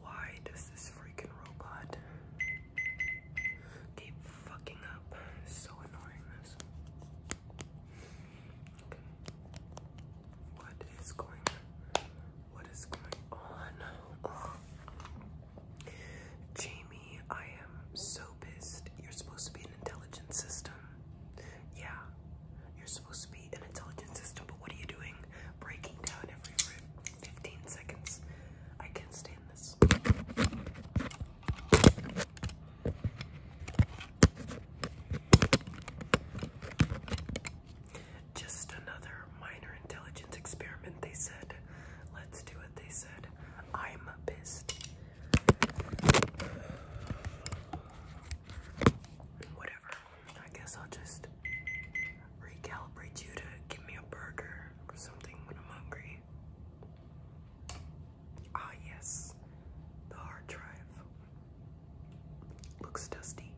Why does this freaking robot keep fucking up? so annoying this. Okay. What is going what is going on? Jamie, I am so pissed. You're supposed to be an intelligent system. Yeah, you're supposed to be an intelligent system, but what are you doing? Breaking down every 15 seconds. I can't stand this. Just another minor intelligence experiment, they said. Let's do it, they said. I'm pissed. Whatever. I guess I'll just recalibrate you to give me a burger or something when I'm hungry. Ah, yes. The hard drive. Looks dusty.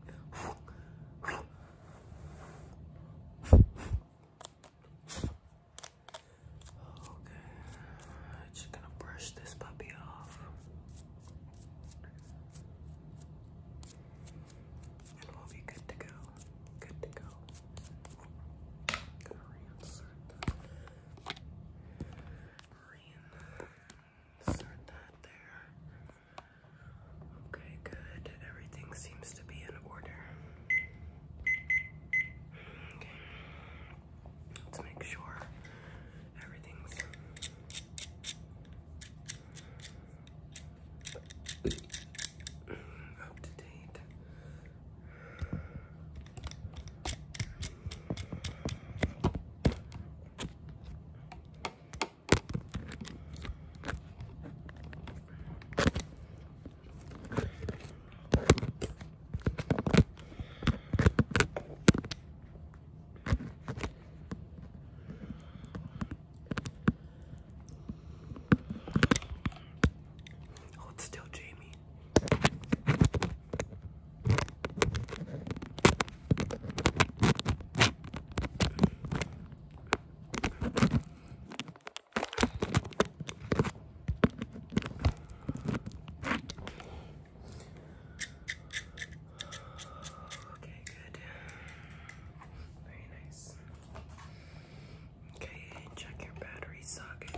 Okay, just gonna brush this puppy off. And we'll be good to go. Good to go. Gonna reinsert that. there. Okay, good. Everything seems to be in order. Let's make sure everything's up to date. Oh, it's still Jamie. Okay, good. Very nice. Okay, check your battery socket.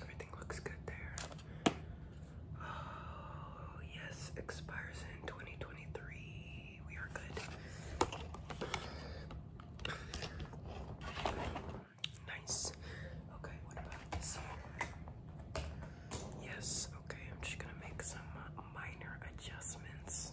Everything looks good there. Oh, yes, expires in 2023. We are good. Nice. Okay, what about this Yes, okay, I'm just gonna make some minor adjustments.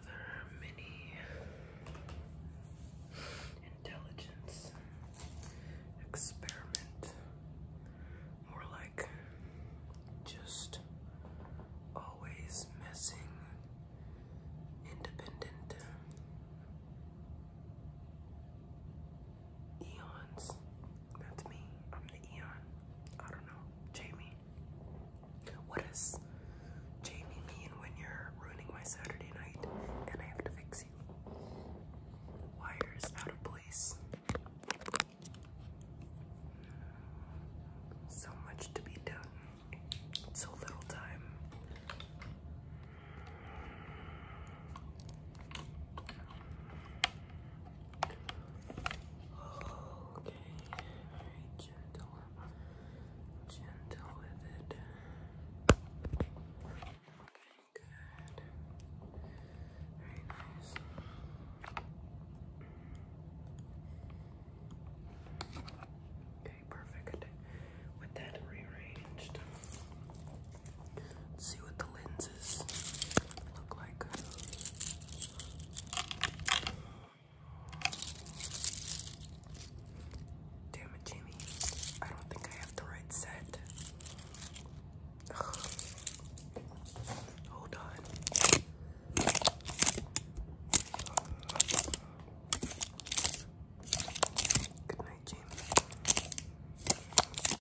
another mini intelligence experiment. More like just always messing independent eons. That's me. I'm the eon. I don't know. Jamie. What does Jamie mean when you're ruining my Saturday night and I have to fix you? Wire out of place. So much to be done, so little time. Okay, very gentle. Gentle with it. Okay, good. Very nice. Okay, perfect. With that rearranged, let's see what the lens Damn it, Jamie. I don't think I have the right set. Hold on. Good night, Jamie.